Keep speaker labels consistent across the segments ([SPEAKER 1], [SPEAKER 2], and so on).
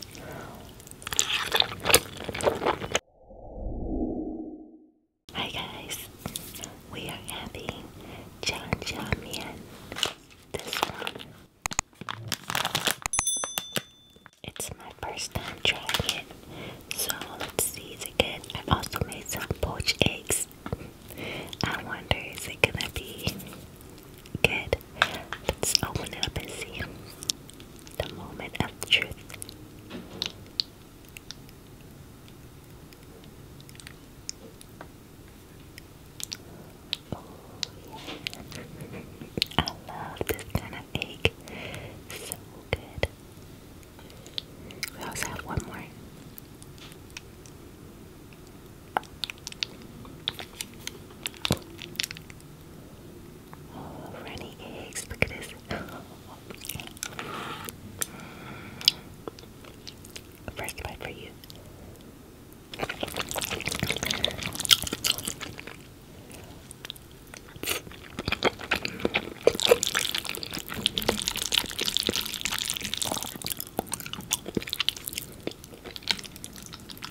[SPEAKER 1] Hi guys, we are having John This one. It's my first time trying it, so let's see is it good. I also made some poached eggs. I wonder if it's gonna be good? Let's open it up and see the moment of truth. Oh, I love this kind of egg. So good. We also have one more. Oh, eggs. Look at this. First bite for you.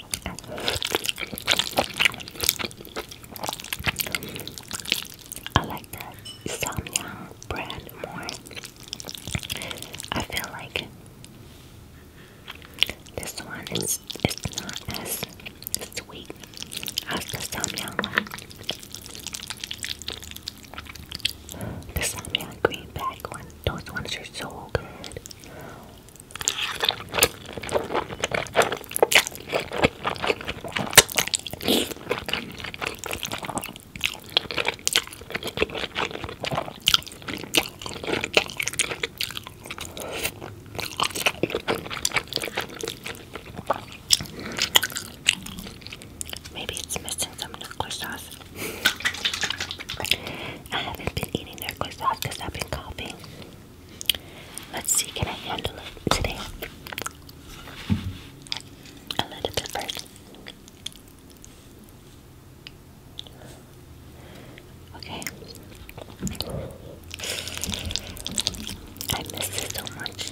[SPEAKER 2] I like the Samyang brand more. I feel like this one is it's not as sweet as the Samyang one. The Samyang green bag one, those ones are so good. Maybe it's missing some knuckle sauce. I haven't been eating their croissants because I've been coughing. Let's see, can I handle it today? A little bit first. Okay. I miss it so much.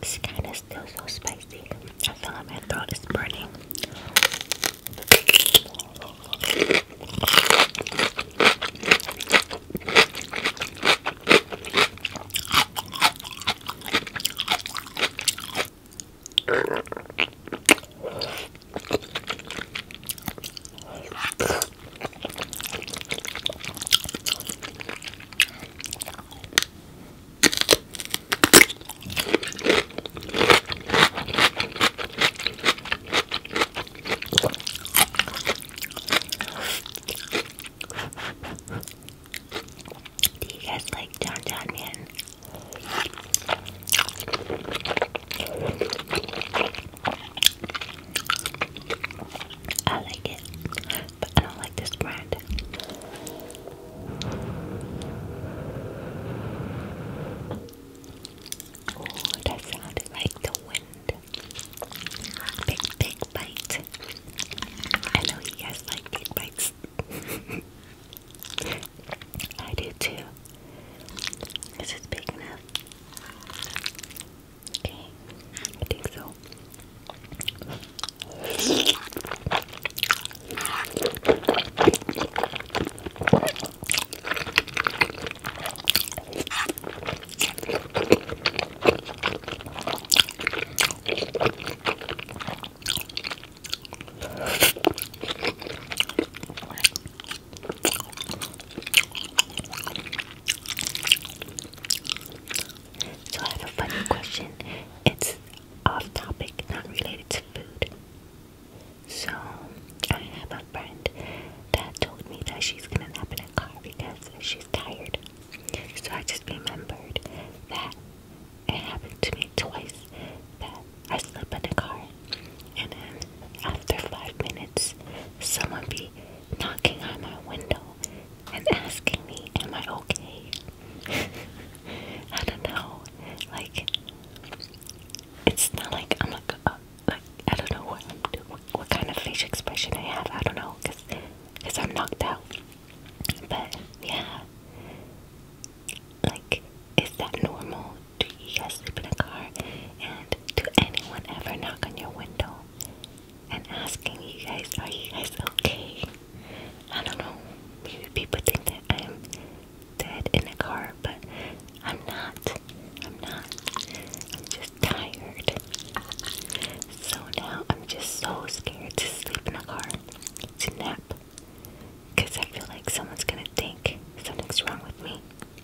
[SPEAKER 2] It's kind of still so spicy. I feel like my throat is burning.
[SPEAKER 1] Do you guys like John John Man? I like it, but I don't like this brand. that sounded like the wind. Big, big bite. I know you guys like big bites. I do too. This is big enough. Okay, I think so. So I have a funny question. It's off topic, not related to food. So I have a friend that told me that she's gonna nap in a car because she's tired. So I just remembered that it happened to me twice that I slept in the car and then after five minutes someone be knocking on my window and asking me, Am I okay? I don't know. Like, it's not like I'm like, uh, like I don't know what what kind of facial expression I have. I don't know, cause, cause I'm knocked out. But yeah, like, is that normal? do you guys sleep in a car? And do anyone ever knock on your window and asking you guys, are you guys okay? I don't know. Maybe people think that I'm dead in a car, but I'm not. I'm not. I'm just tired. So now I'm just so scared to sleep in a car, to nap, because I feel like someone's gonna think
[SPEAKER 2] something's wrong with me.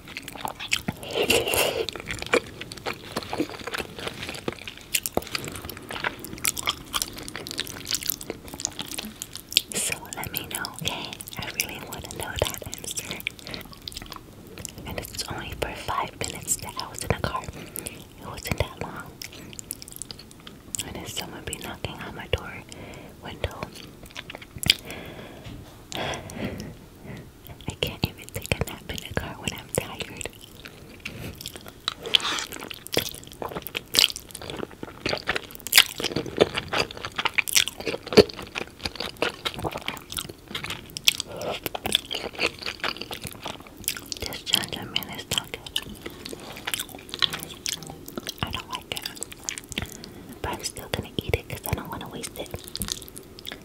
[SPEAKER 1] So let me know, okay? I really want to know that answer. And it's only for five minutes that I was in the car. It wasn't that long. And if someone be knocking on my door window, I can't even take a nap in the car when I'm tired. This gentleman is not good. I don't like it. But I'm still gonna eat it because I don't want to waste it.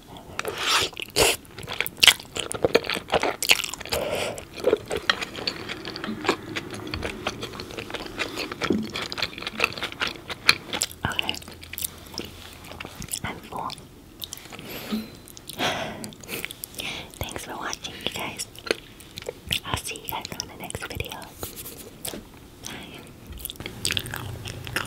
[SPEAKER 2] Okay, I'm full. Thanks for watching, you guys. I'll see you guys on the next video. Bye.